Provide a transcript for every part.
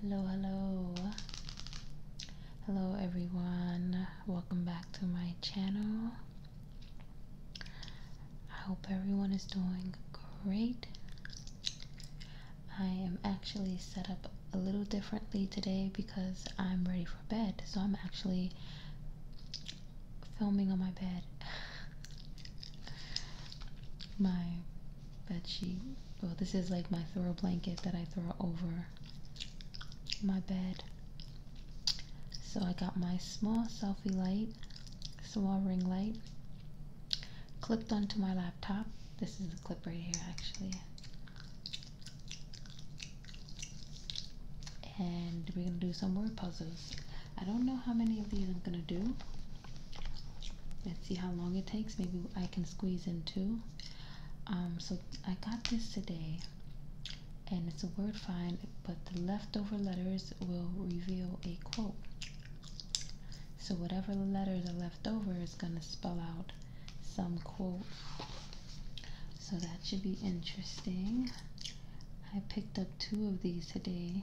Hello, hello. Hello, everyone. Welcome back to my channel. I hope everyone is doing great. I am actually set up a little differently today because I'm ready for bed. So I'm actually filming on my bed. my bed sheet. Well, this is like my throw blanket that I throw over my bed. So I got my small selfie light, small ring light, clipped onto my laptop. This is the clip right here, actually. And we're gonna do some word puzzles. I don't know how many of these I'm gonna do let's see how long it takes maybe i can squeeze in two um, so i got this today and it's a word find but the leftover letters will reveal a quote so whatever letters are leftover is going to spell out some quote so that should be interesting i picked up two of these today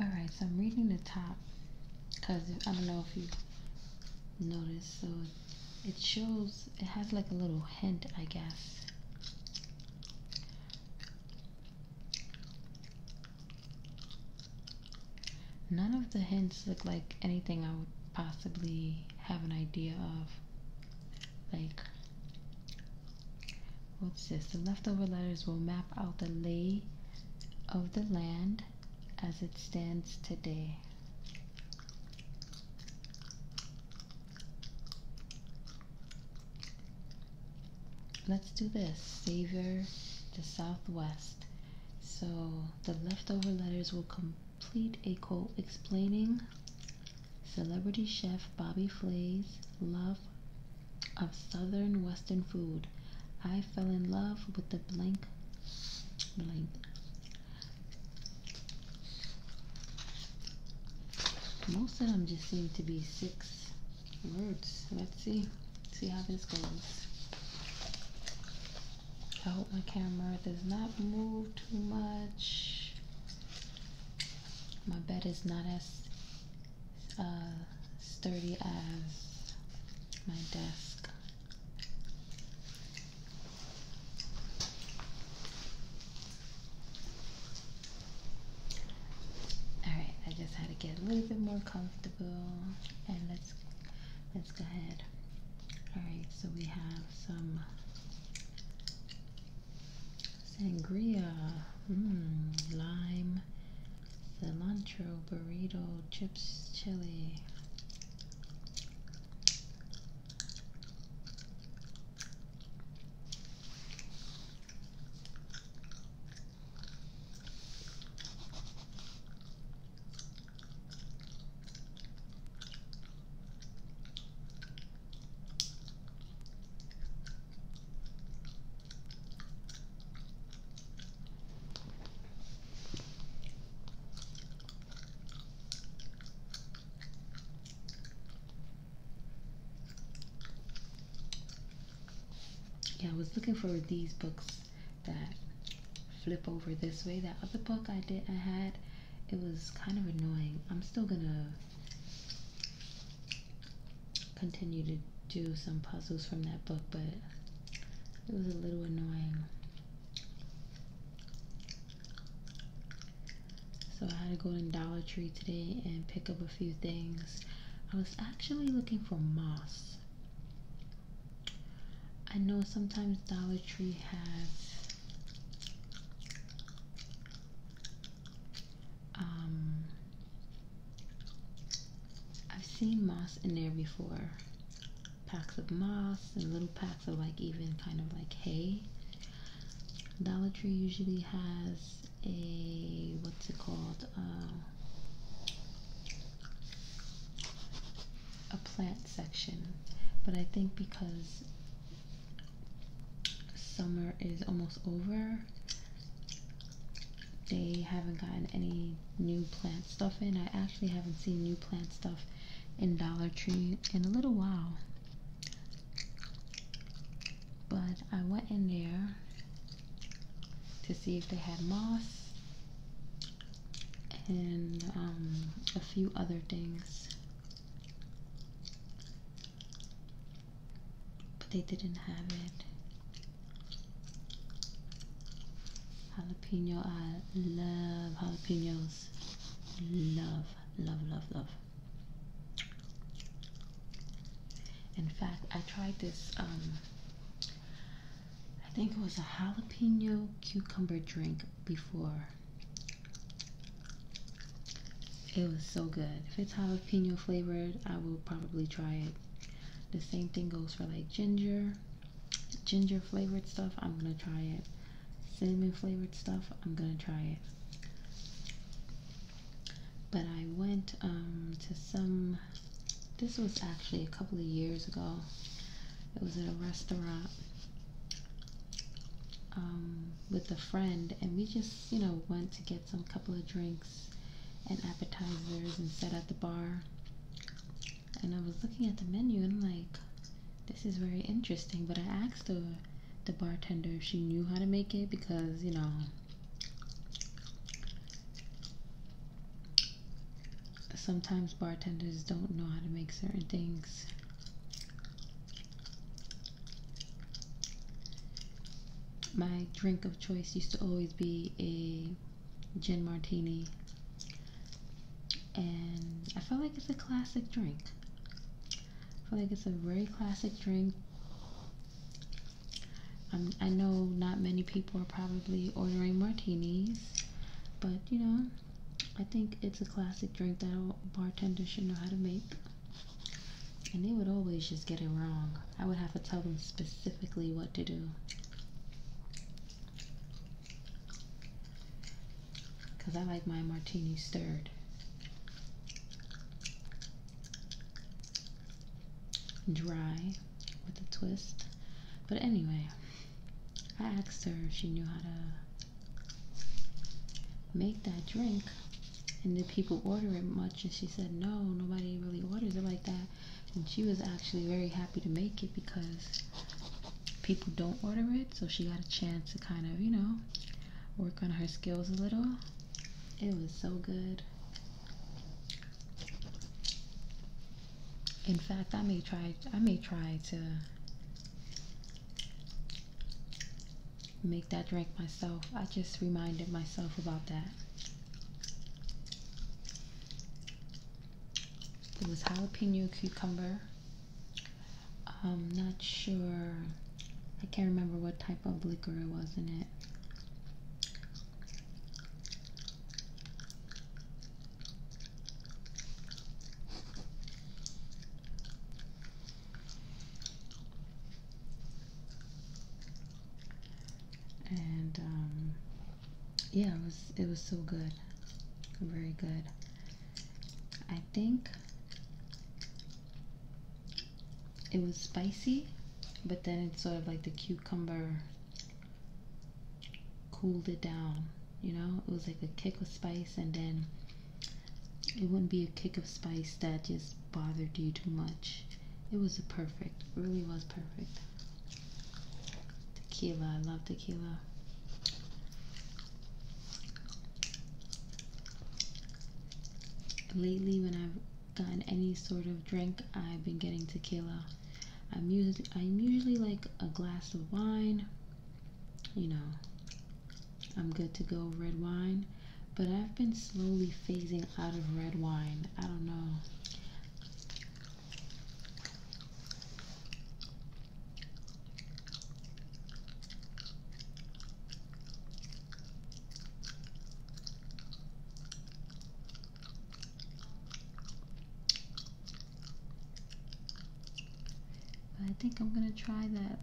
Alright, so I'm reading the top because I don't know if you noticed. So it shows, it has like a little hint, I guess. None of the hints look like anything I would possibly have an idea of. Like, What's this? The leftover letters will map out the lay of the land as it stands today. Let's do this. Savior, the Southwest. So the leftover letters will complete a quote explaining celebrity chef Bobby Flay's love of southern western food. I fell in love with the blank blank most of them just seem to be six words. Let's see. See how this goes. I hope my camera does not move too much. My bed is not as uh, sturdy as my desk. Alright, I just had to get a little bit more comfortable and let's let's go ahead. Alright, so we have some Sangria, mm, lime, cilantro, burrito, chips, chili. Yeah, I was looking for these books that flip over this way. That other book I did I had, it was kind of annoying. I'm still gonna continue to do some puzzles from that book, but it was a little annoying. So I had to go to Dollar Tree today and pick up a few things. I was actually looking for moss. I know sometimes Dollar Tree has um, I've seen moss in there before. Packs of moss and little packs of like even kind of like hay. Dollar Tree usually has a what's it called? Uh, a plant section, but I think because summer is almost over. They haven't gotten any new plant stuff in. I actually haven't seen new plant stuff in Dollar Tree in a little while. But I went in there to see if they had moss and um, a few other things. But they didn't have it. Jalapeno, I love jalapenos. Love, love, love, love. In fact, I tried this, um, I think it was a jalapeno cucumber drink before. It was so good. If it's jalapeno flavored, I will probably try it. The same thing goes for like ginger, ginger flavored stuff. I'm gonna try it. Cinnamon flavored stuff. I'm gonna try it. But I went um, to some. This was actually a couple of years ago. It was at a restaurant um, with a friend, and we just you know, went to get some couple of drinks and appetizers and sat at the bar. And I was looking at the menu and I'm like, this is very interesting. But I asked the the bartender if she knew how to make it because you know sometimes bartenders don't know how to make certain things my drink of choice used to always be a gin martini, and I feel like it's a classic drink. I feel like it's a very classic drink. Um, I know not many people are probably ordering martinis, but you know, I think it's a classic drink that a bartender should know how to make. And they would always just get it wrong. I would have to tell them specifically what to do. Because I like my martini stirred. Dry with a twist. But anyway, I asked her if she knew how to make that drink and did people order it much and she said no nobody really orders it like that and she was actually very happy to make it because people don't order it so she got a chance to kind of you know work on her skills a little it was so good in fact i may try i may try to make that drink myself. I just reminded myself about that. It was jalapeno cucumber. I'm not sure. I can't remember what type of liquor it was in it and um, yeah, it was it was so good, very good. I think it was spicy, but then it's sort of like the cucumber cooled it down. You know, it was like a kick of spice, and then it wouldn't be a kick of spice that just bothered you too much. It was perfect, really was perfect. Tequila, I love tequila. Lately, when I've gotten any sort of drink, I've been getting tequila. I'm usually, I'm usually like a glass of wine you know, I'm good to go red wine. But I've been slowly phasing out of red wine. I don't know. I think I'm gonna try that.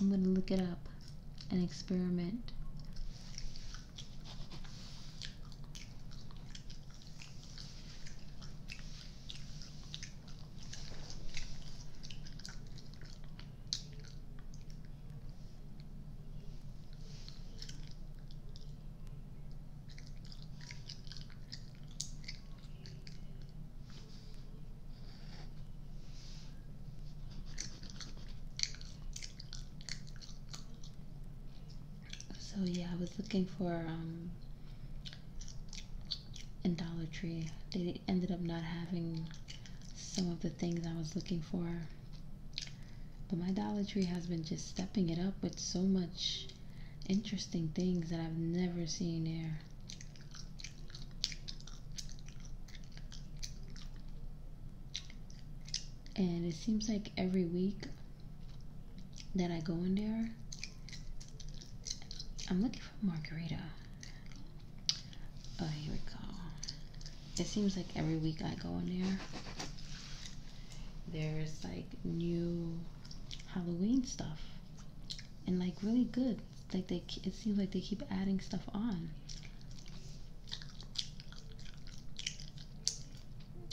I'm gonna look it up and experiment. So yeah, I was looking for um in Dollar Tree. They ended up not having some of the things I was looking for. But my Dollar Tree has been just stepping it up with so much interesting things that I've never seen there. And it seems like every week that I go in there, I'm looking for margarita. Oh, here we go. It seems like every week I go in there, there's like new Halloween stuff and like really good. Like they, it seems like they keep adding stuff on.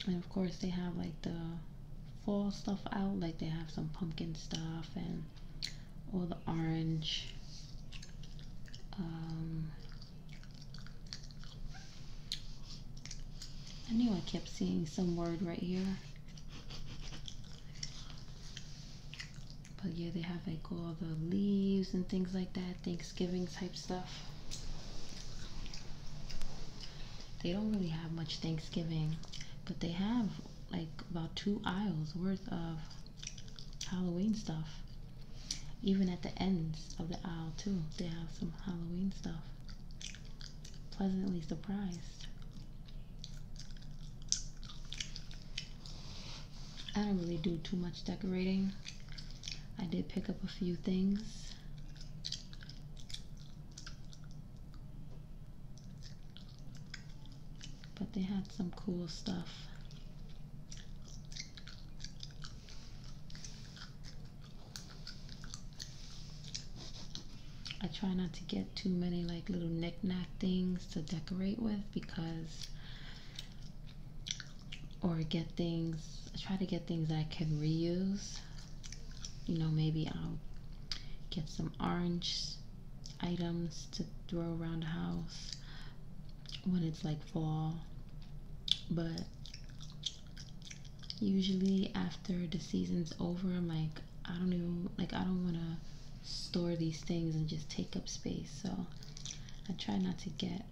And of course, they have like the fall stuff out. Like they have some pumpkin stuff and all the orange. Um, I knew I kept seeing some word right here. But yeah, they have like all the leaves and things like that, Thanksgiving type stuff. They don't really have much Thanksgiving, but they have like about two aisles worth of Halloween stuff. Even at the ends of the aisle, too, they have some Halloween stuff. Pleasantly surprised. I don't really do too much decorating. I did pick up a few things. But they had some cool stuff. I try not to get too many like little knickknack things to decorate with because or get things I try to get things that I can reuse. You know, maybe I'll get some orange items to throw around the house when it's like fall. But usually after the season's over, I'm like I don't even like I don't want to store these things and just take up space. So I try not to get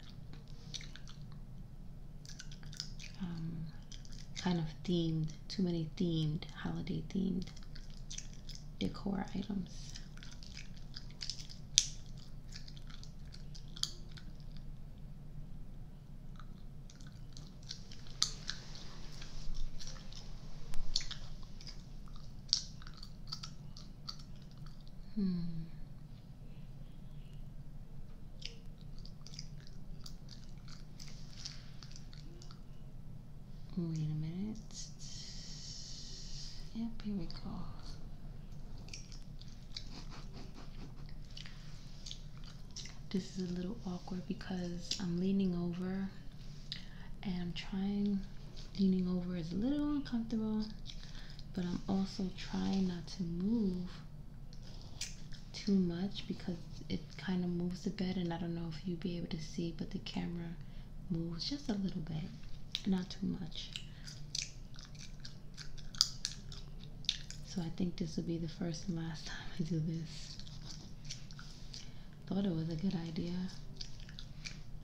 um, kind of themed, too many themed, holiday themed decor items. Hmm. Wait a minute. Yep, here we go. This is a little awkward because I'm leaning over and I'm trying, leaning over is a little uncomfortable, but I'm also trying not to move too much because it kind of moves the bed and I don't know if you'll be able to see, but the camera moves just a little bit, not too much. So I think this will be the first and last time I do this. Thought it was a good idea.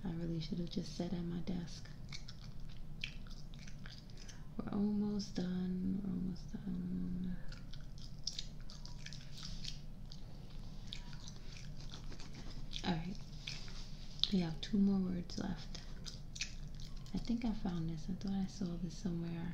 I really should have just sat at my desk. We're almost done. We're almost done. Alright. We have two more words left. I think I found this. I thought I saw this somewhere.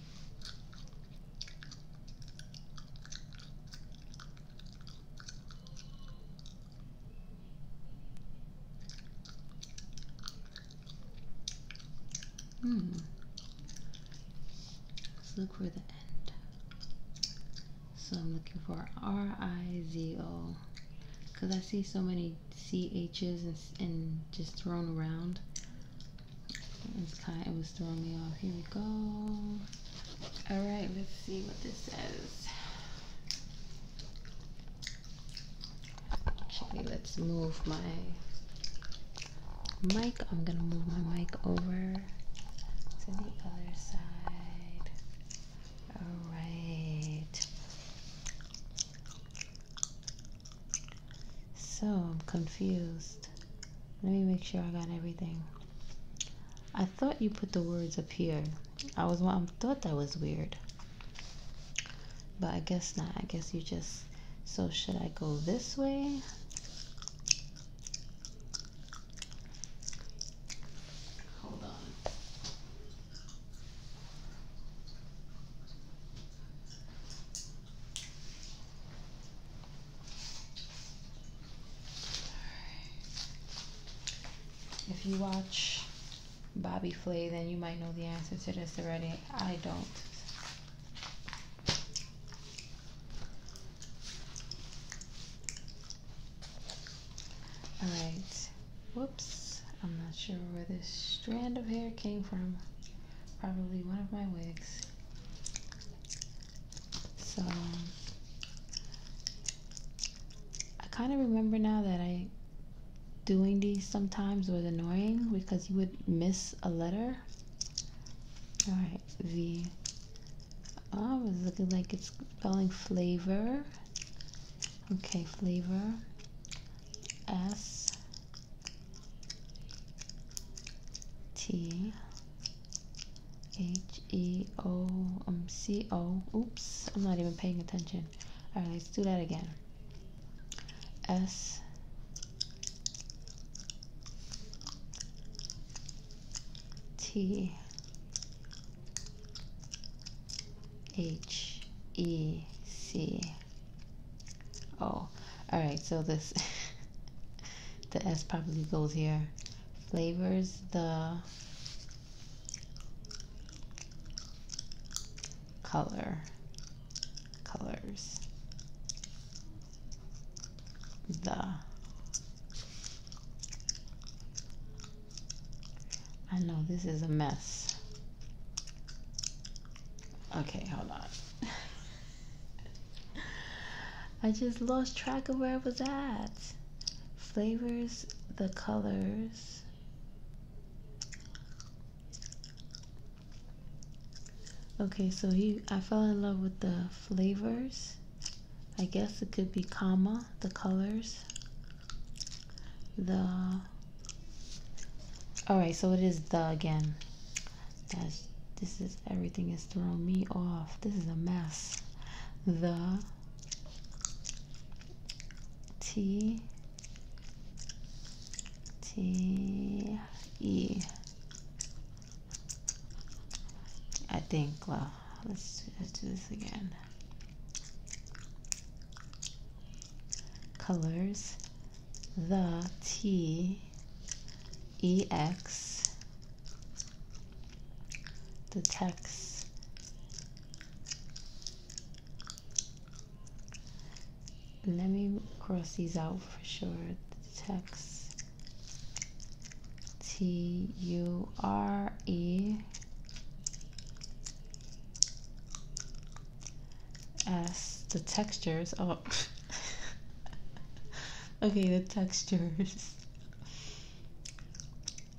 Hmm. Let's look for the end. So I'm looking for R I Z O because I see so many CHs and, and just thrown around. It was kind of, it was throwing me off. Here we go. Alright, let's see what this says. Actually, let's move my mic. I'm gonna move my mic over to the other side. Alright. So I'm confused. Let me make sure I got everything. I thought you put the words up here. I was I thought that was weird. But I guess not. I guess you just so should I go this way? Hold on. If you watch Bobby Flay, then you might know the answer to this already. I don't. Alright. Whoops. I'm not sure where this strand of hair came from. Probably one of my wigs. So I kind of remember now that I doing these sometimes was annoying because you would miss a letter. All right, V. Oh, it's looking like it's spelling flavor. Okay, flavor. S T H E um, O Oops, I'm not even paying attention. All right, let's do that again. S T H E C Oh, all right. So this, the S probably goes here. Flavors the color, colors the. I know this is a mess. Okay, hold on. I just lost track of where I was at. Flavors, the colors. Okay, so you, I fell in love with the flavors. I guess it could be comma, the colors, the Alright, so it is the again. That's this is everything is throwing me off. This is a mess. The T T E I think let's do this again colors the T E X detects let me cross these out for sure detects T U R E as the textures oh. okay the textures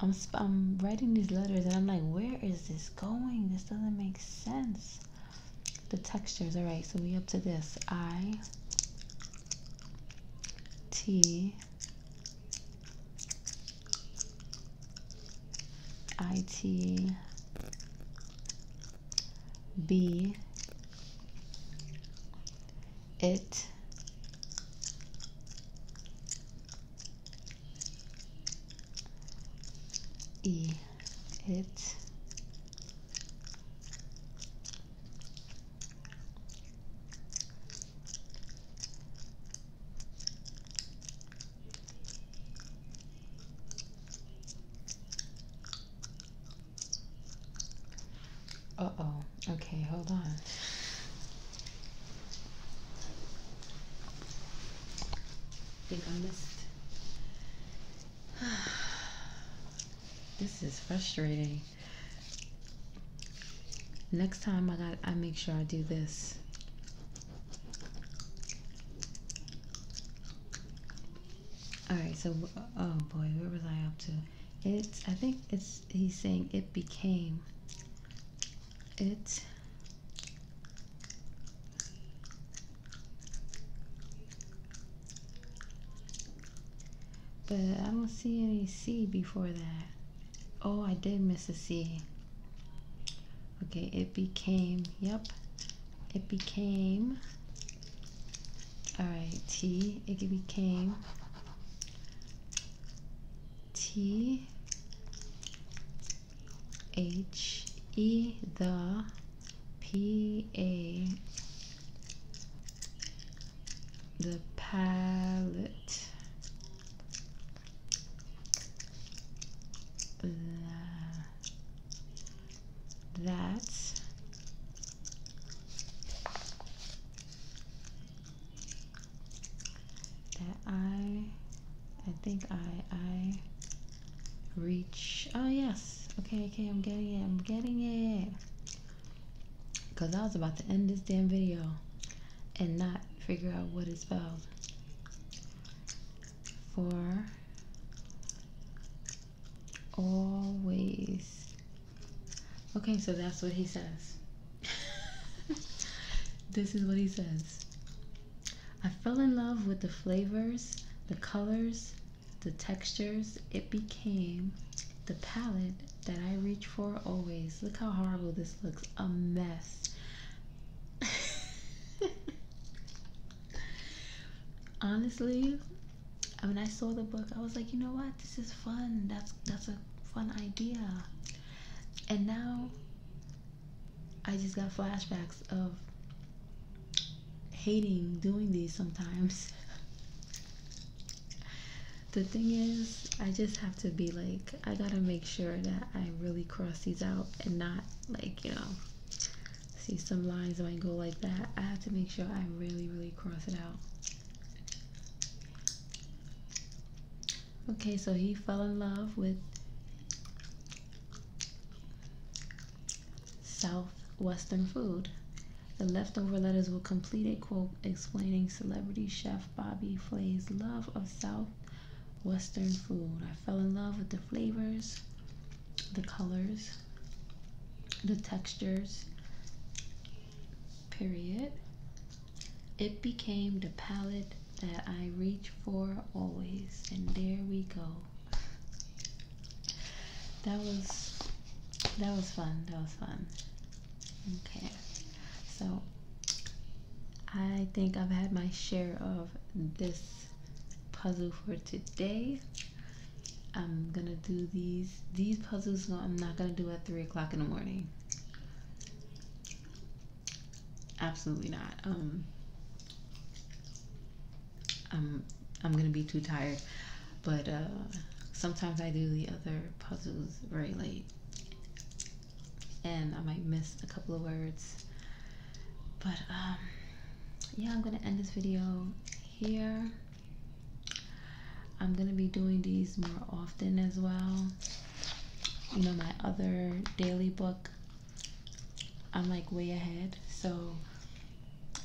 I'm, I'm writing these letters and I'm like where is this going this doesn't make sense the textures all right so we up to this I T I T B. it e it uh oh. Okay, hold on. I think I missed. this is frustrating. Next time I I make sure I do this. Alright, so, oh boy, where was I up to? It's, I think it's, he's saying it became. It. But I don't see any C before that. Oh, I did miss a C. Okay, it became, yep it became all right t it became t h e the p a the palette the that that I I think I I reach oh yes okay okay I'm getting it I'm getting it because I was about to end this damn video and not figure out what it spells for always. Okay, so that's what he says. this is what he says. I fell in love with the flavors, the colors, the textures. It became the palette that I reach for always. Look how horrible this looks. A mess. Honestly, when I saw the book, I was like, you know what? This is fun. That's that's a fun idea. And now I just got flashbacks of hating doing these sometimes. the thing is, I just have to be like I gotta make sure that I really cross these out and not like, you know, see some lines when I go like that. I have to make sure I really, really cross it out. Okay, so he fell in love with Southwestern food. The leftover letters will complete a quote explaining celebrity chef Bobby Flay's love of South Western food. I fell in love with the flavors, the colors, the textures. Period. It became the palette that I reach for always. And there we go. That was that was fun. That was fun. Okay. So I think I've had my share of this puzzle for today. I'm gonna do these these puzzles I'm not gonna do at three o'clock in the morning. Absolutely not. Um I'm I'm gonna be too tired. But uh sometimes I do the other puzzles very late and I might miss a couple of words. But um, yeah, I'm gonna end this video here. I'm gonna be doing these more often as well. You know, my other daily book, I'm like way ahead. So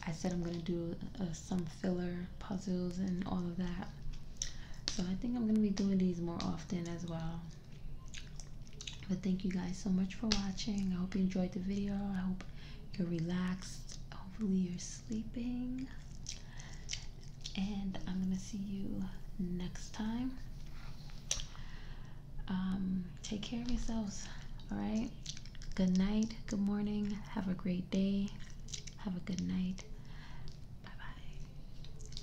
I said I'm gonna do uh, some filler puzzles and all of that. So I think I'm gonna be doing these more often as well but thank you guys so much for watching i hope you enjoyed the video i hope you're relaxed hopefully you're sleeping and i'm gonna see you next time um take care of yourselves all right good night good morning have a great day have a good night bye bye